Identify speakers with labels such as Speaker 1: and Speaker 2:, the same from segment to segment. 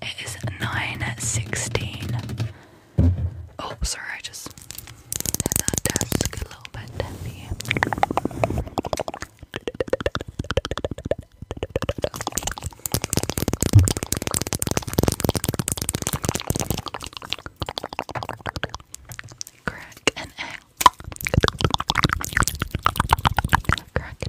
Speaker 1: It is 9.16. Oh, sorry, I just hit that desk a little bit Crack an egg. Crack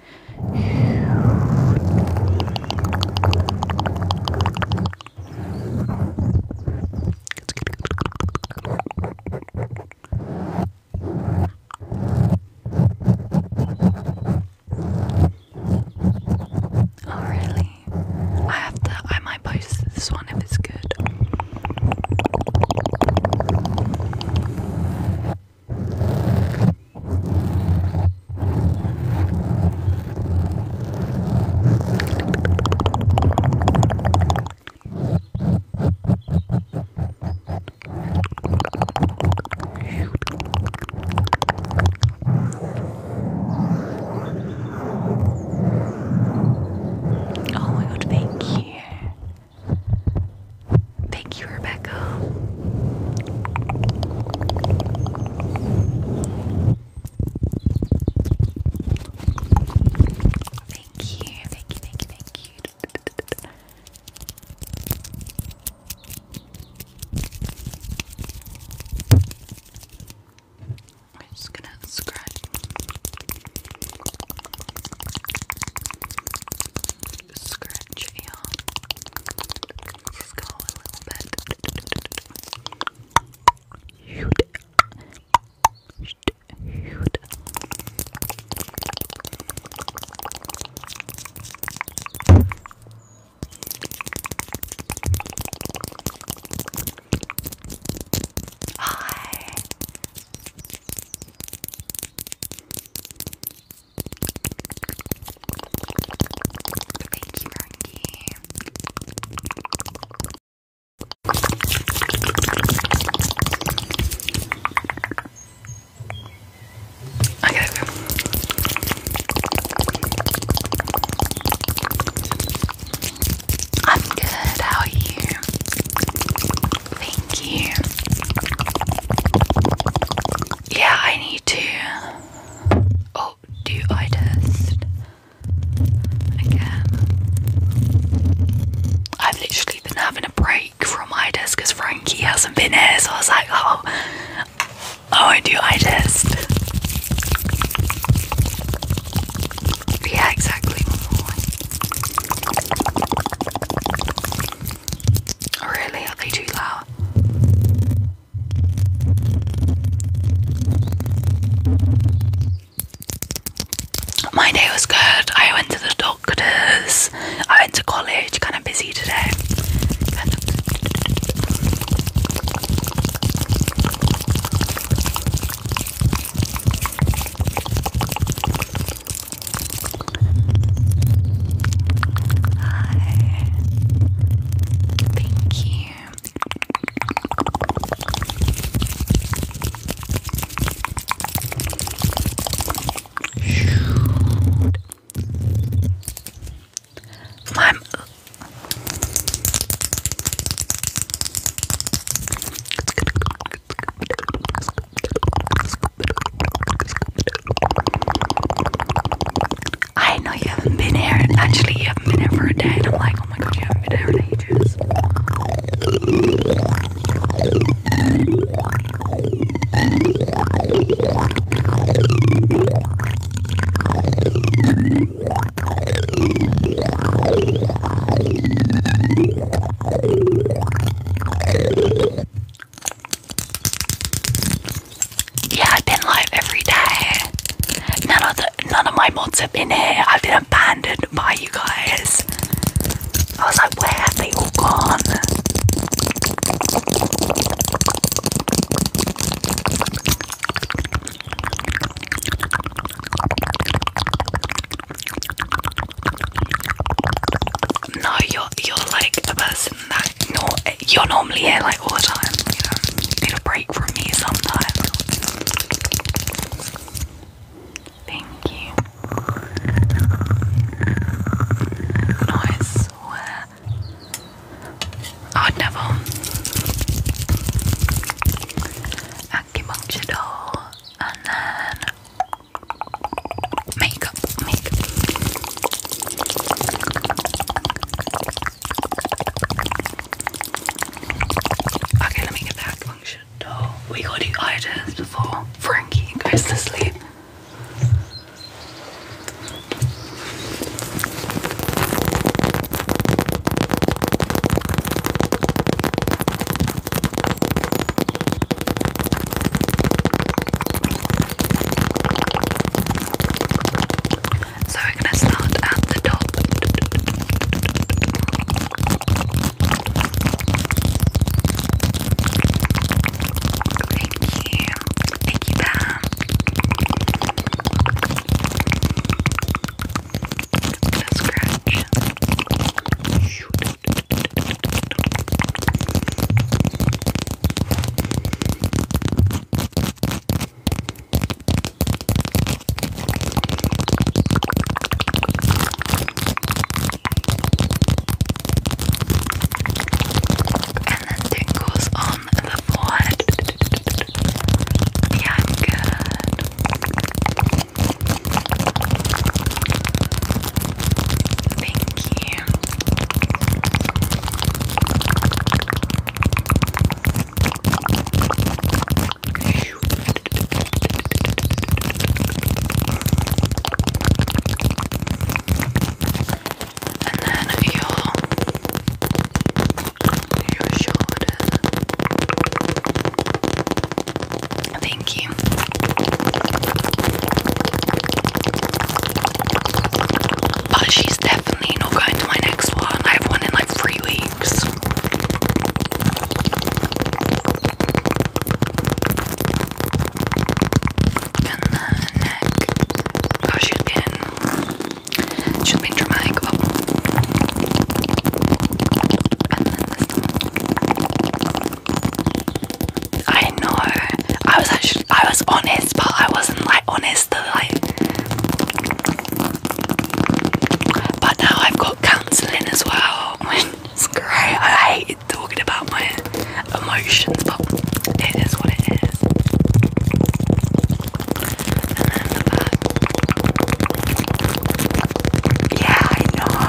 Speaker 1: good. Oh really? I have to I might post this one if it's good. Oh my god, thank you. Thank Rebecca. Thank you, thank you, thank you, thank you. I'm just gonna scratch scratch your skull a little bit. Hi. Thank you, Frankie. I gotta I'm good, how are you? Thank you. Yeah, I need to Oh, do I test again? I've literally been having a break from eye test because Frankie hasn't been here, so I was like, oh, oh, I do eye test. Yeah, exactly. Really? Are they too loud? My day was good. I went to the doctors. I went to college. Kind of busy today. Hi. Thank you. Shoot. My I know you haven't been here, actually, you haven't been here for a day, and I'm like, oh my god, you haven't been here in ages. Yeah, I've been live every day. None of the none of my mods have been here. I've been abandoned by you guys. I was like, where have they all gone? No, you're you're like a person that no, you're normally here like all the time. You know, you need a break from me sometime. Thank you. No, I swear. I would never. Acupuncture doll, and then. Make makeup, makeup. Okay, let me get that function. Oh, we gotta do eye before Frankie goes to sleep. So we're gonna start at the top. Thank you. Thank you, Pam. Let's scratch. And then tingles on the forehead. Yeah, good. Thank you you. And then your your shoulders. Thank you. But she's definitely not going to my next one. I have one in like three weeks. And oh, she's been. She's been dramatic. Oh. I know. I was actually I was honest, but I wasn't like honest to like. But now I've got counselling as well. It's great. I hate talking about my emotions, but it is what it is. Yeah, I know. I'm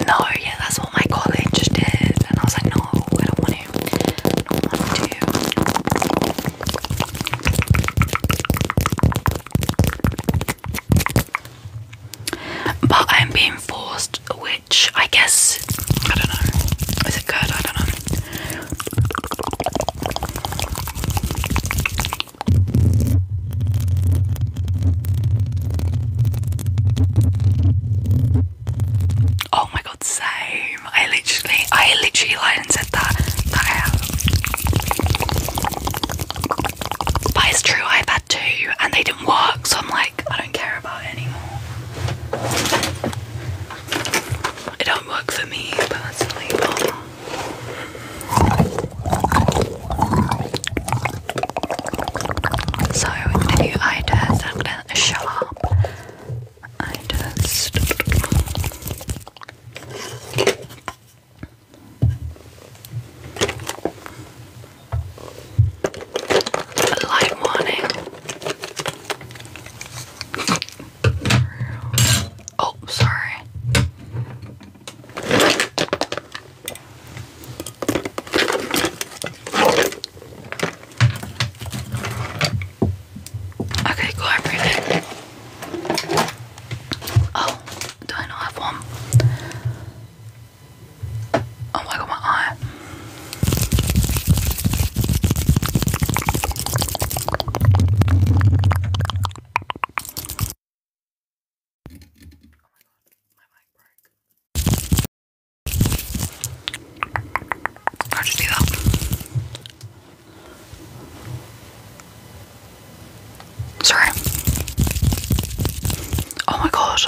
Speaker 1: No, yeah, that's what my college did, and I was like, no, I don't want to. I don't want to. But I'm being forced, which I guess I don't know. Is it good? I don't know. Oh my god, same. I literally, I literally lied and said that. That I have. But it's true, I've had two and they didn't work, so I'm like, I don't care about it anymore. It don't work for me personally, but so I'm going gonna show up. Eye test. A light Oh, sorry. Okay, cool, I appreciate Oh, do not have one? Oh my god, my eye. How'd you do that? Sorry. Oh my god.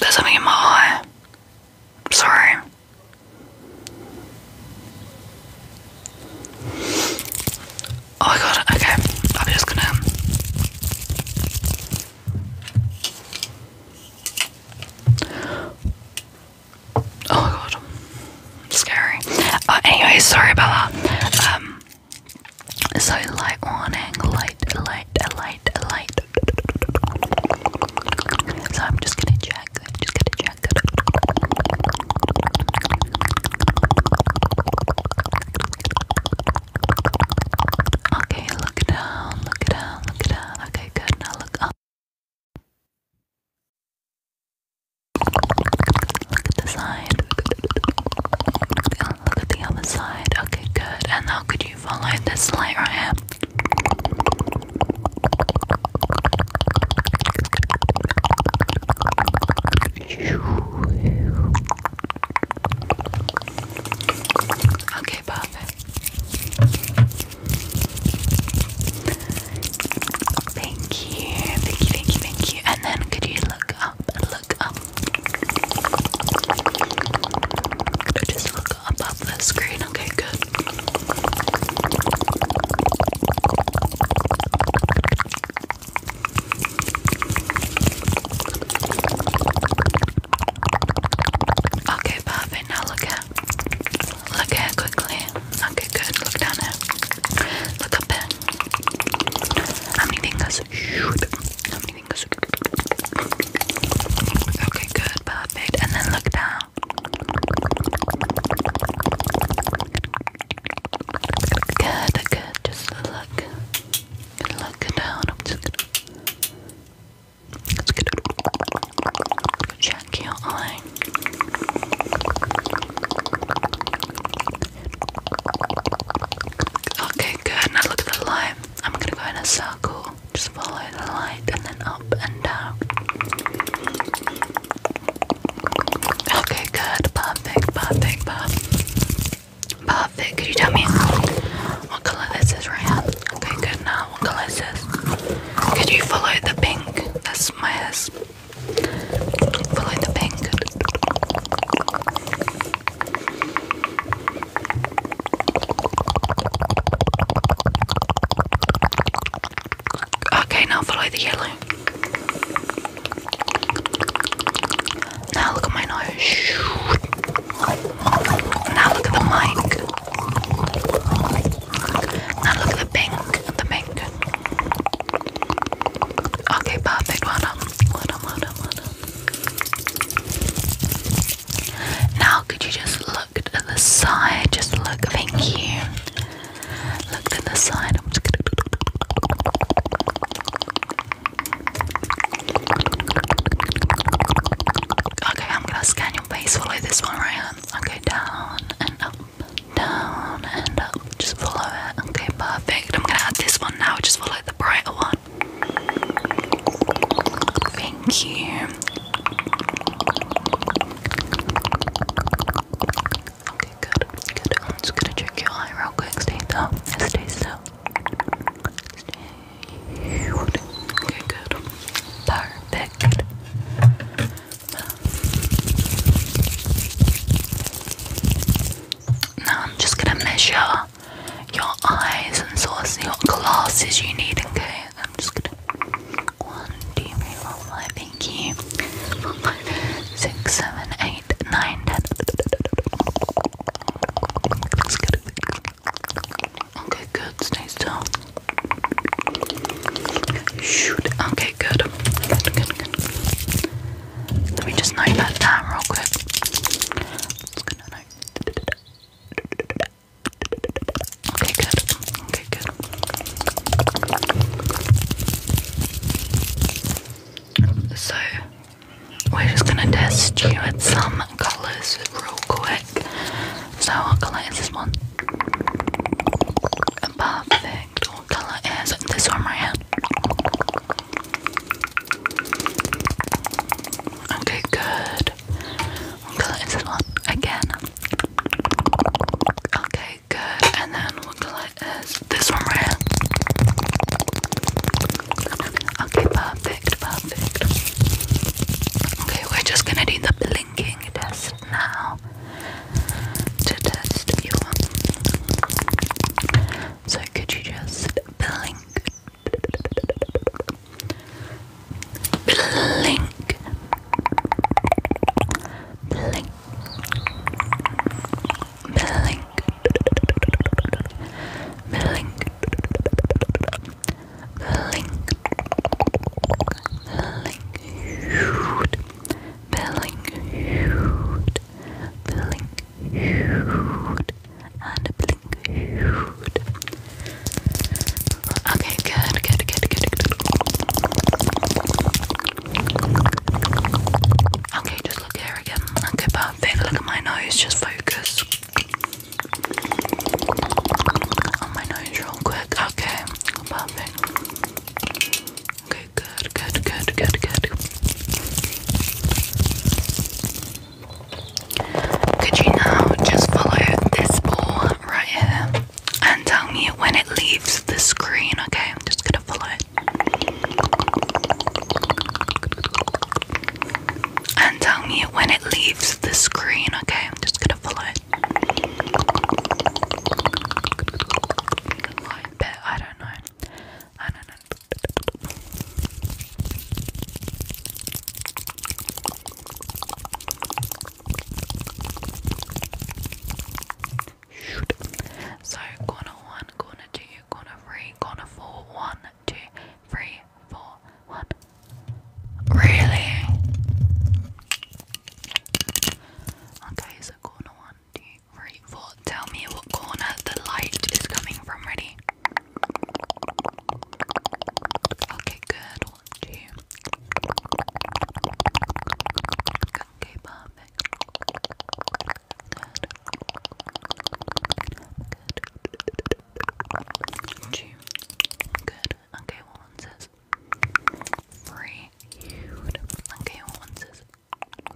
Speaker 1: There's something in my eye. I'm sorry. Oh my god, okay. I'm just gonna. Oh my god. Scary. Uh, anyway, sorry about Um, so light warning, light, light, light, light. So I'm just gonna check, i just gonna check. Okay, look down, look down, look down. Okay, good. Now look up. Look at the sign look at the other side. Okay, good. And how could you follow this light right here? Okay, perfect. Thank you, thank you, thank you, thank you. And then could you look up look up. Just look up off the screen. Okay, good. Okay, perfect. Now look at look at quickly. Okay, good. Look down there. Look up there. How many fingers? fingers. Okay, good, perfect. And then look down. Good, good. Just look. Look down. I'm just gonna. Let's get check your eye. Okay, good. Now look at the light. I'm gonna go in a circle. Just follow the light and then up and down. Okay, good. Perfect, perfect, perfect. Perfect. Could you tell me what color this is right now? Okay, good. Now, what color is this? Could you follow the pink? That's my hair. Follow the pink. Okay, now follow the yellow. Now look at my nose. Now look at the mic. Now look at the pink and the pink. Okay, perfect. Well done. Well done, well done, well done. Now, could you just look at the side? Just look, thank you. Look at the side. I'm just gonna. Okay, I'm gonna scan your face. Follow this one right Okay, down and up, down and up. Just follow it. Okay, perfect. I'm gonna add this one now. Just follow the brighter one. Thank you. Okay, good, good. I'm just gonna check your eye real quick. Stay still. Stay still. Okay, good. Perfect. Now I'm just gonna measure your eyes and sort of see glasses you need. Okay, I'm just gonna one, two, three, four, five. Okay, good. Stay still. Shoot. Okay, good. Good, good, good. Let me just note that down real quick. Okay, good. Okay, good. So, we're just gonna test you at some colours real quick. So, what colour is this one? Perfect. What colour is this one right here? Okay, good. What color is this one? Again. Okay, good. And then we'll what color is this one right here? Okay, perfect, perfect. Okay, we're just gonna do the blinking test now to test you. So could you just blink? Blink. Blink. Blink. Blink. Blink. Blink. Blink. Blink and blink. Okay, good, good, good, good, good. Okay, just look here again. Okay, perfect. Look at my nose, just focus. On my nose real quick. Okay, perfect. Okay, Good, good, good, good, good. Could you now just follow this ball right here and tell me when it leaves the screen? Okay, I'm just gonna follow it. And tell me when it leaves the screen, okay? I'm just gonna follow it. I bet, I don't know. I don't so corner one, corner two, corner three, corner four, one, two, three, four, one. Really? Okay, so corner one, two, grateful. Tell me what corner the light is coming from. Ready? Okay, good. two. Okay, perfect. Two. Good. Okay, one says? Three. Okay, one says? Good,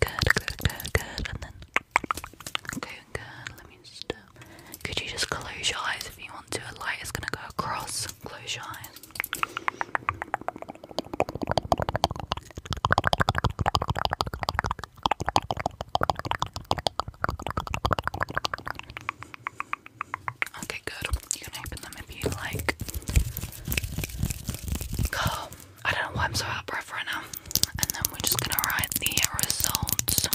Speaker 1: good, good, good. And then, okay, good. Let me just. could you just close your eyes if you want to? A light is gonna go across. Close your eyes. Okay, good. You can open them if you like. Calm I don't know why I'm so out of breath right now. And then we're just gonna write the results.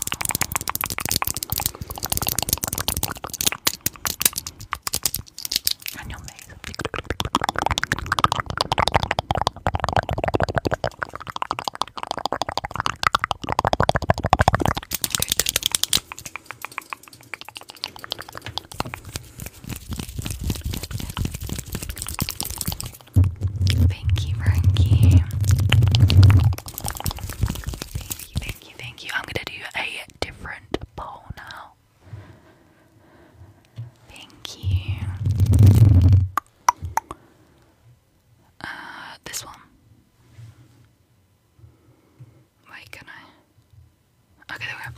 Speaker 1: Thank you, Thank you, thank you, thank you. I'm gonna do a different poll now. Thank you. Uh, this one. Wait, can I? Okay, there we go.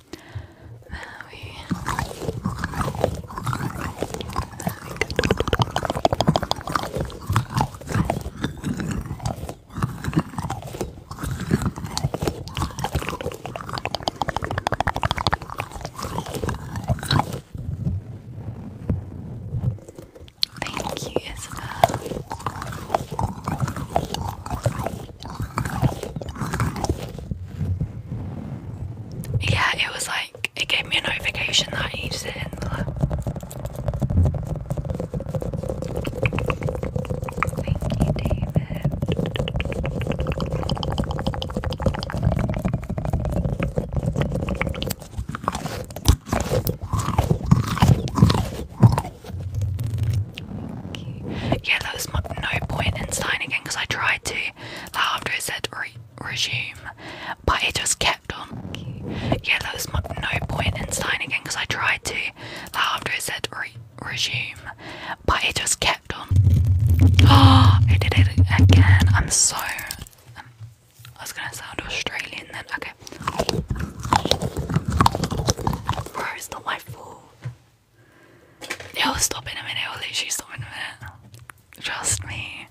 Speaker 1: Thank you, Isabel. Yeah, it was like it gave me a notification that I needed it in the yeah, there was no point in signing again because I tried to uh, after it said re resume, but it just kept on. Yeah, there was no point in signing again because I tried to uh, after it said re resume, but it just kept on. Oh, it did it again. I'm so. Um, I was gonna sound Australian then. Okay. Bro, my fault. It'll stop in a minute, it'll literally stop in a minute. Trust me.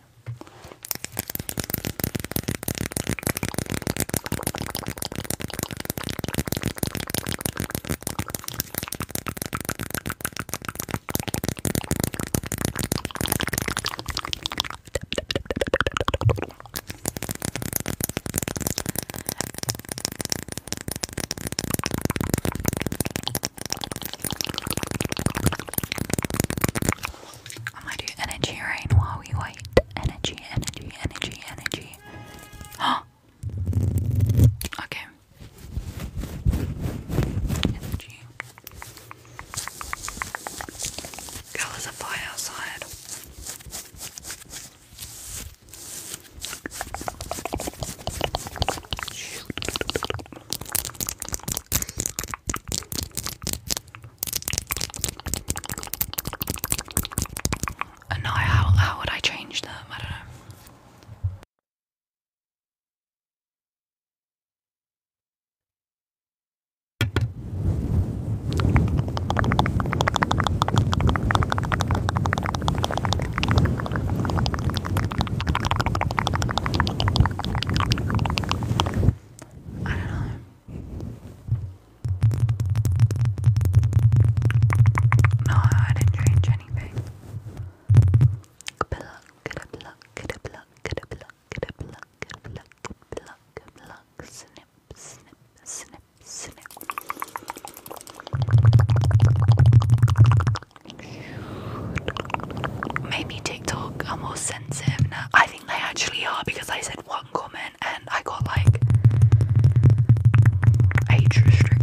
Speaker 1: I might do energy rain while we wait. Energy, energy, energy, energy. Huh? Okay. Energy. Girl, there's fire outside. And now, how, how would I change them? I don't know. I don't know. No, I didn't change anything. Pluck, pluck, pluck, pluck, pluck, pluck, pluck, pluck, snip, snip, snip, snip, Maybe TikTok are more sensitive I think they actually are because I said one comment and I got like age restricted.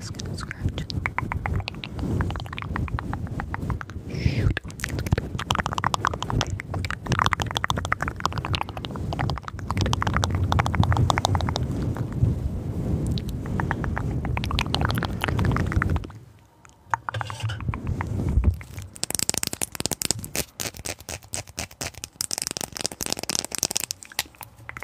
Speaker 1: Just gonna scratch. Shoot.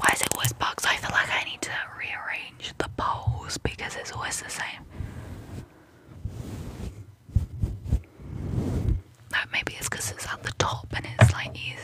Speaker 1: Why is it always bugs? I feel like I need to rearrange the poles because it's always the same. No, maybe it's because it's at the top and it's like easier.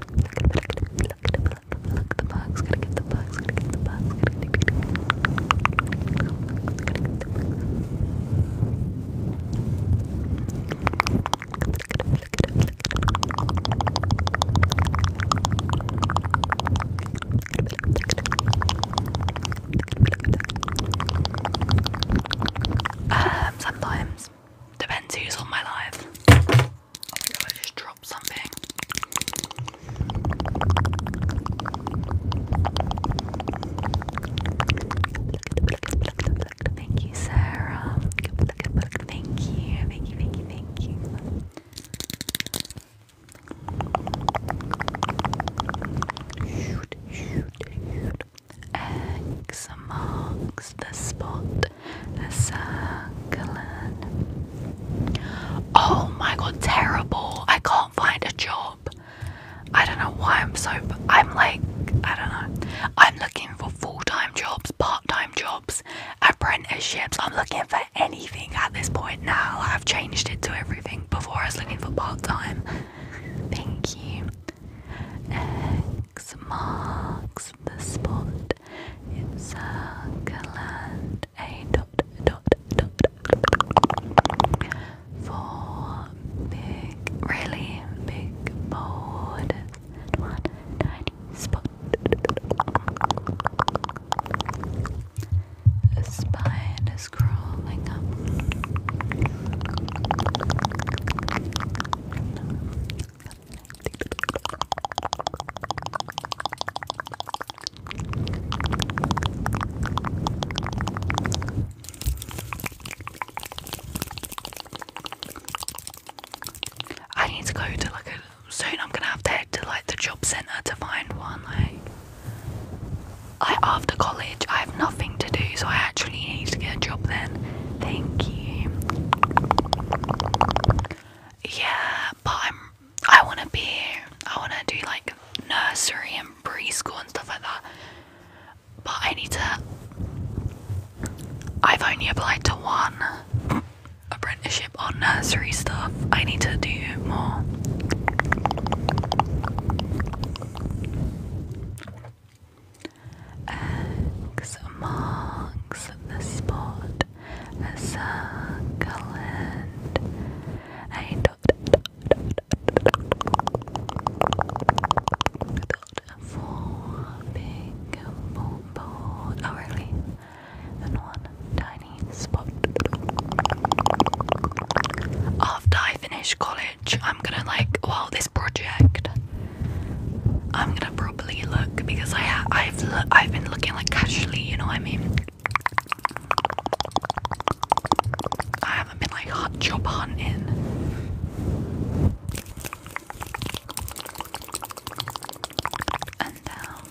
Speaker 1: Look the bugs, got sometimes depends who's on my life. I just dropped something. Thank you, Sarah. Thank you, thank you, thank you, thank you. Shoot, the spot. Oh my god, terrible. I can't find a job. I don't know why I'm so. I'm like, I don't know. I'm looking for full time jobs, part time jobs, apprenticeships. I'm looking for anything at this point now. I've changed it to everything. Before I was looking for part time. Thank you. X marks the spot in Saarland a dot dot dot four big really big board one tiny spot a spider crawling up I need to go to like a soon I'm gonna have to head to like the job centre to find one like I after college I have nothing to do so I actually need to get a job then Thank you. Yeah, but I'm. I want to be. I want to do like nursery and preschool and stuff like that. But I need to. I've only applied to one apprenticeship on nursery stuff. I need to do more. X marks the spot, a circle and a dot, dot, dot, dot oh really, and one tiny spot. After I finish college, I'm gonna like, wow this project I'm gonna properly look because I ha I've I've been looking like casually, you know what I mean? I haven't been like hot job hunting. Um,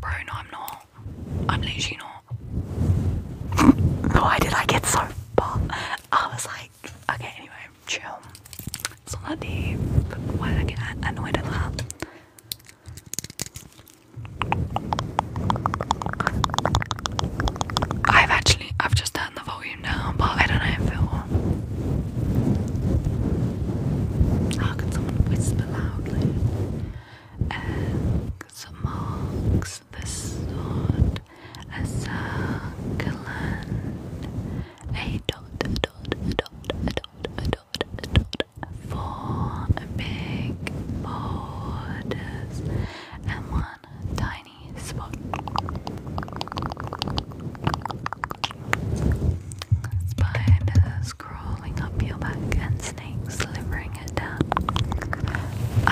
Speaker 1: bro, no, I'm not. I'm literally not. Why did I get so buff? I was like okay, anyway, chill. It's not Why I get annoyed at that? I've actually, I've just turned the volume down, but I don't know if it How can someone whisper loudly? Eggs, marks, was the sword, a succulent, a dot, a dot, a dot, a dot, a dot, a dot, four big borders, and one tiny spot. Spiders crawling up your back and snakes slithering down.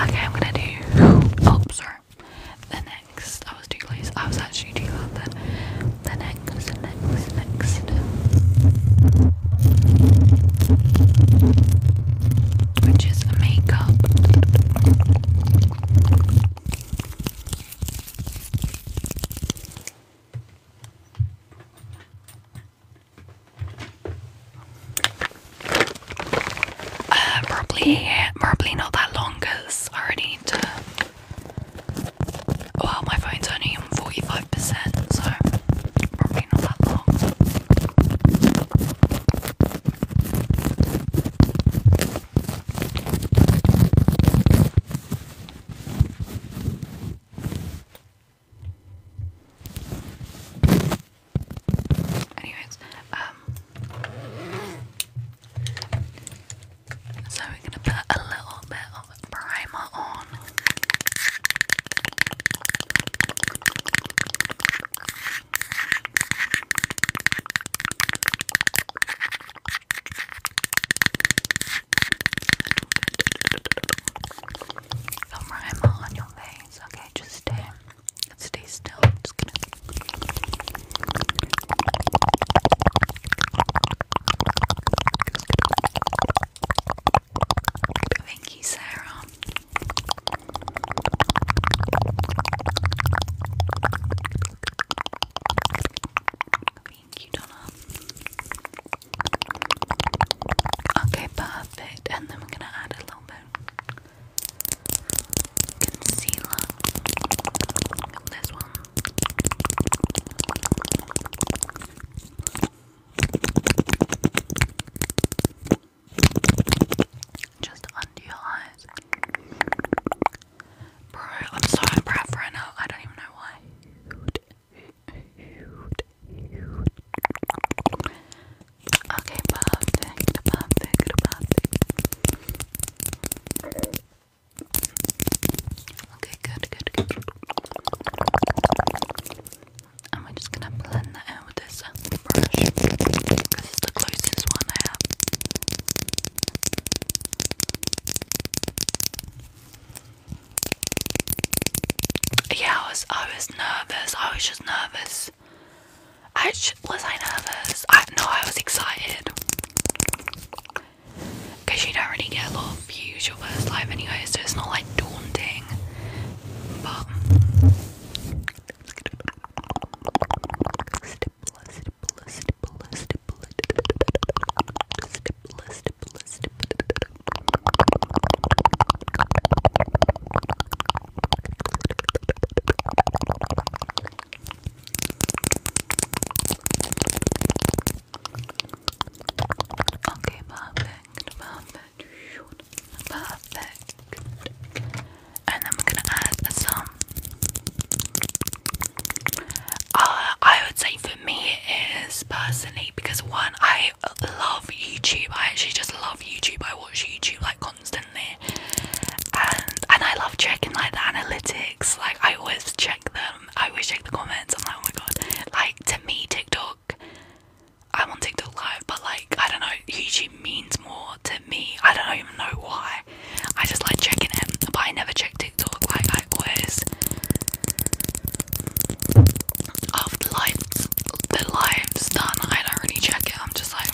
Speaker 1: Okay, I'm gonna do. Oh, sorry. The next, I was too close. I was actually too loud then. The next, the next, next. Which is a makeup. Uh, probably, probably not that long because I already Well, my phone's only on 45%, so probably not that long. Anyways, um, so we're gonna put a little bit of primer on. Put primer on your face, okay? Just stay Stay still. just gonna. Thank you, Sarah. Okay, perfect. And then we're gonna add a little bit concealer. This one. Just under your eyes. Bro, I'm so impressed right now. I don't even know why. Okay, perfect, perfect, perfect. Okay, good, good, good. And we're just gonna blend that out with this brush because it's the closest one I have. Yeah, I was I was nervous. I was just nervous. I was I nervous? I no, I was excited. Cause you don't really get a lot of views your first live anyway, so it's not like daunting. But Okay, perfect, perfect, perfect. And then we're gonna add some. Uh, I would say for me it is personally because one, I love YouTube. I actually just love YouTube. I watch YouTube like constantly constantly and and I love checking like the analytics like I always check them I always check the comments I'm like oh my god like to me TikTok i want TikTok live but like I don't know YouTube means more to me I don't even know why I just like checking it but I never check TikTok like I always after live the live's done I don't really check it I'm just like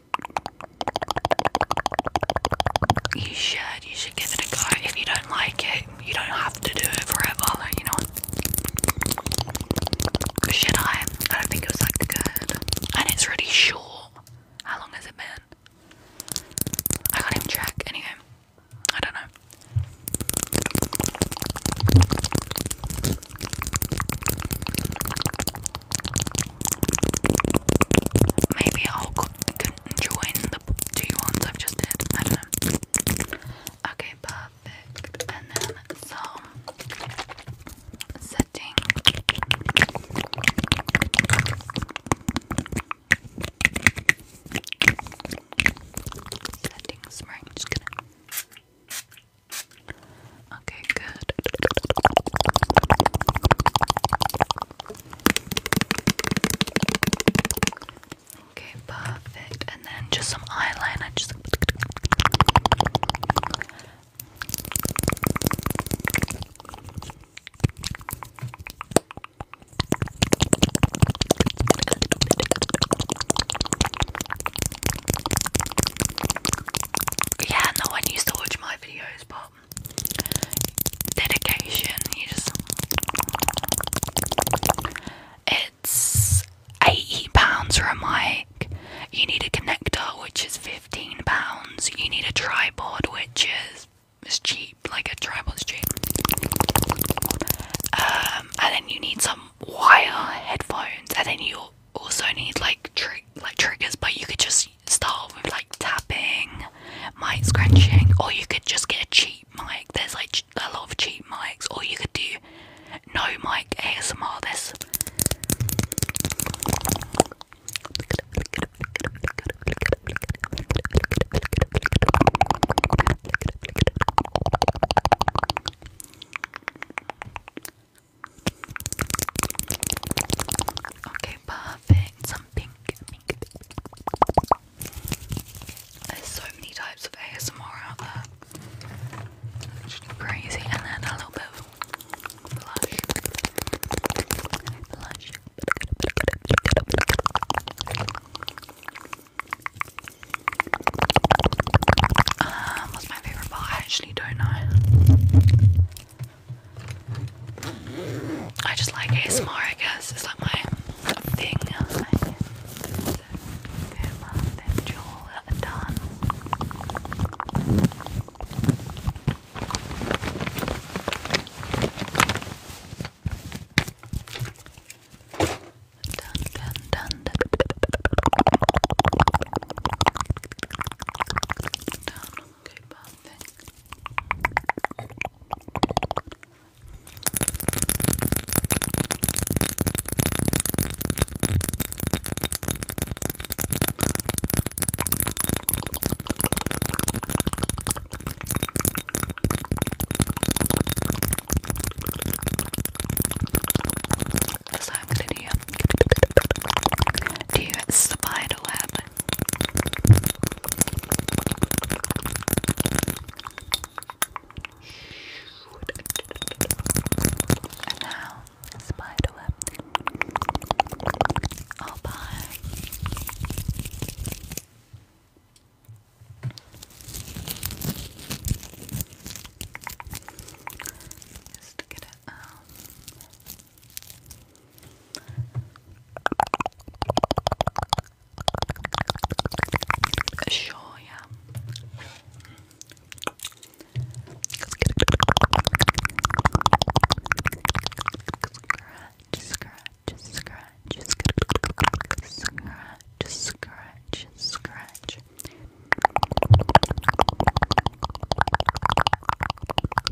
Speaker 1: You should, you should give it a go. If you don't like it, you don't have to do it forever, you know. Should I? I don't think it was like good. And it's really short. How long has it been? I can't even check. Anyway, I don't know. Maybe I'll join the two ones I've just did. Okay, perfect. And then some setting. Settings, right? Okay, good. Okay, perfect. And then just some eyeliner. Just yeah, no one used to watch my videos, but dedication. it's eighty pounds for a mic. You need a connector, which is fifteen pounds. You need a tripod, which is is cheap, like a tripod's cheap. Um, and then you need some wire headphones, and then you also need like tri like triggers, but you could just start with like tapping, mic scrunching, or you could just get a cheap mic. There's like a lot of cheap mics, or you could do no mic ASMR. This perfect. Some pink, pink, There's so many types of ASMR out there. crazy. And then a little bit of blush. Blush. Um, what's my favourite part? I actually don't know. I just like ASMR, I guess. It's like my thing. So, them, uh, them done. Okay, perfect. So I'm gonna do, um, do spider web and now, spiderweb. Oh, bye. Just get um, sure, yeah. Scratch, scratch, scratch, scratch, scratch, scratch.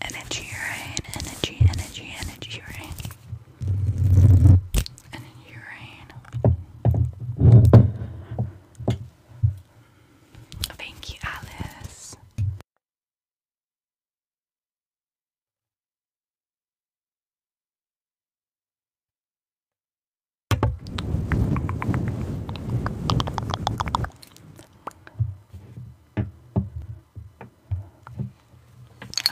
Speaker 1: Energy rain, energy, energy, energy rain. Energy rain. Thank you, Alice. I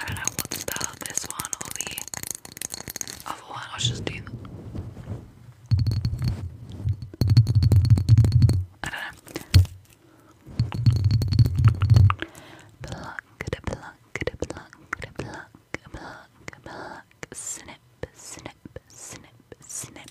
Speaker 1: don't know what spell this one or the other one. I'll just do. I don't know. Pluck, da pluck, da pluck, da pluck, pluck, pluck, snip, snip, snip, snip.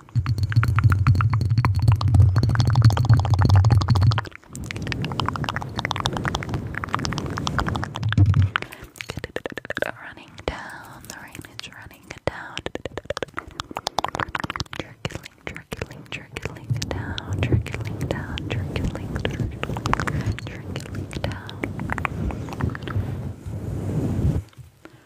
Speaker 1: Running down, the rain is running down. Jerkling, jerkling, jerkling down, jerkling down, jerkling, jerkling, jerkling down.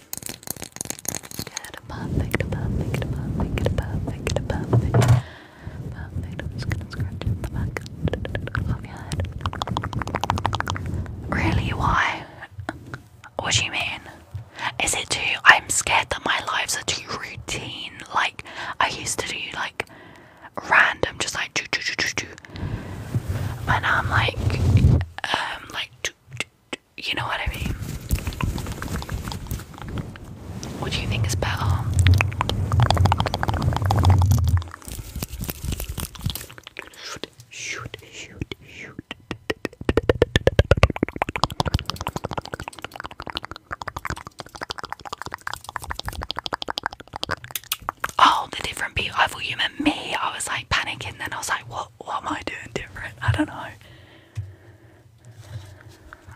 Speaker 1: Good, perfect, perfect, perfect, perfect, perfect, perfect. I'm just gonna scratch the back Really? Why? What do you mean? Is it too? I'm scared that my lives are too routine. Like I used to do, like random, just like do do do do do. But I'm like, um, like do you know what I mean? What do you think is better? Shoot, shoot, shoot, shoot. Oh, the different beat. I me. I was like panicking, then I was like, what? what, am I doing different? I don't know.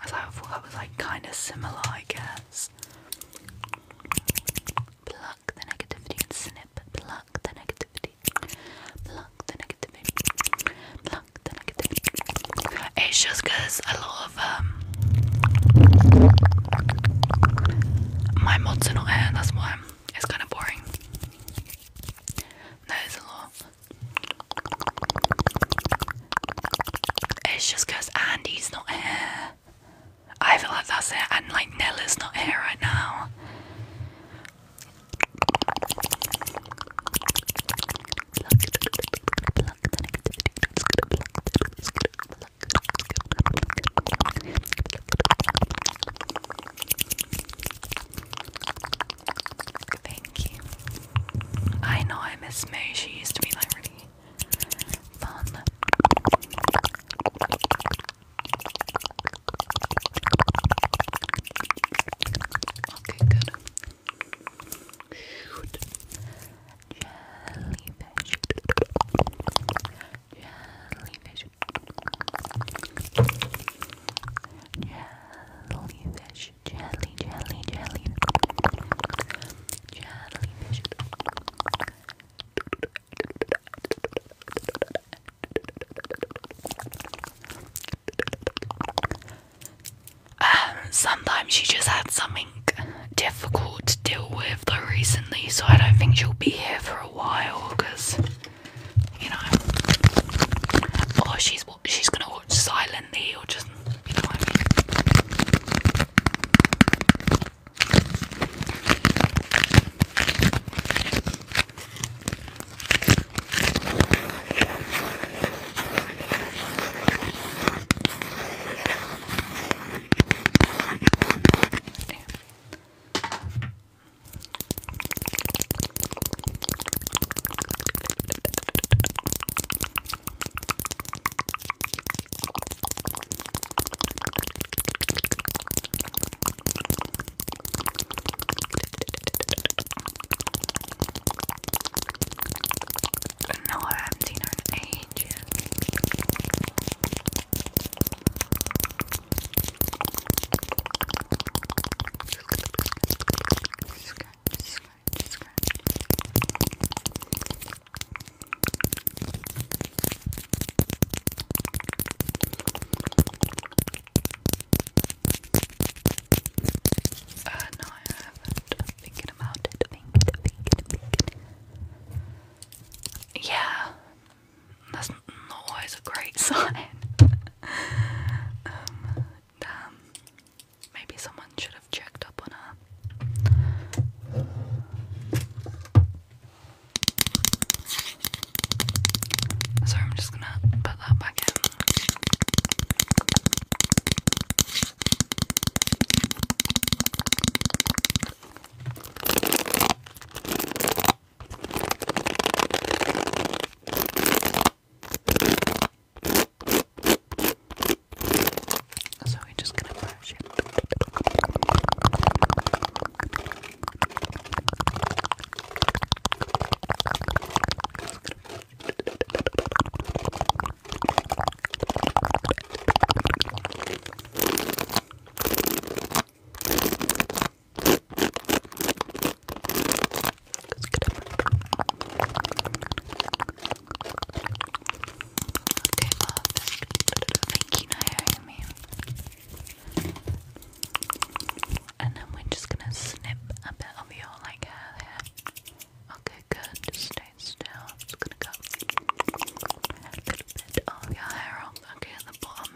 Speaker 1: I thought that was like kind of similar, I guess. Pluck the negativity and snip. the negativity. Pluck the negativity. Pluck the negativity. It's just because a lot of um, my mods are not here, that's why i it's kind of boring. That is a lot. It's just because Andy's not here. I feel like that's it, and like Nella's not here right now. Thank you. I know I miss May. She used to be like really fun. Okay, good. Shoot. Jellyfish. Jellyfish jellyfish, jelly, jelly, jelly, jellyfish. sometimes she just had something difficult to deal with recently, so I don't think she'll be here for a while because you know, or she's she's gonna watch silently, or just you know what I mean. No, I haven't seen her in ages. Uh, no, I haven't. thinking about it. Thinking, thinking, thinking. Yeah, that's not always a great sign. Um, damn. Maybe someone should have checked up on her. So I'm just gonna put that back so we're just gonna brush it. Okay, love. Thank you, Naomi. And then we're just gonna snip a bit of your like hair Okay, good. stay still. just gonna go a bit of your hair off. Okay, the bottom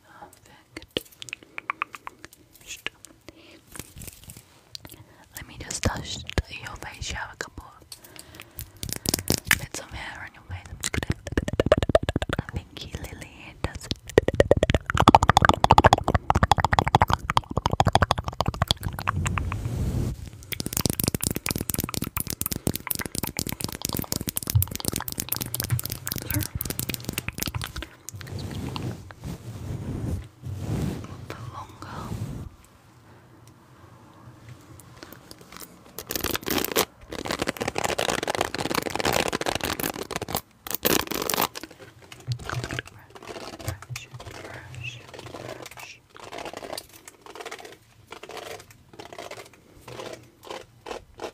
Speaker 1: Perfect. Let me just touch your face. You have a couple bits of hair on your face. i Lily here. The longer. Brush, brush, brush. Brush,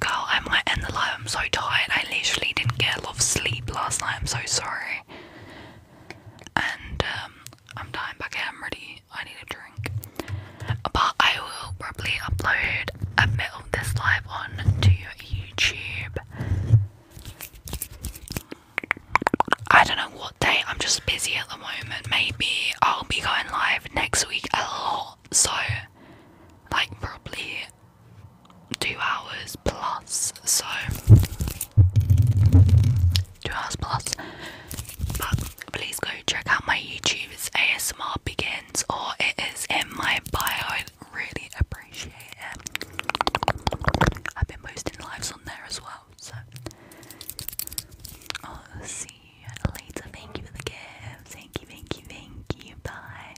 Speaker 1: Girl, I'm like the light. I'm so tired. I literally didn't get a lot of sleep last night. I'm so sorry and um, I'm dying back I'm ready. I need a drink. But I will probably upload a bit of this live on to YouTube. I don't know what day. I'm just busy at the moment. Maybe I'll be going live next week a lot. So, like, probably two hours plus, so two hours plus. please go check out my YouTube, ASMR Begins, or it is in my bio. I really appreciate it. I've been posting lives on there as well, so I'll see you later. Thank you for the gift. Thank you, thank you, thank you. Bye.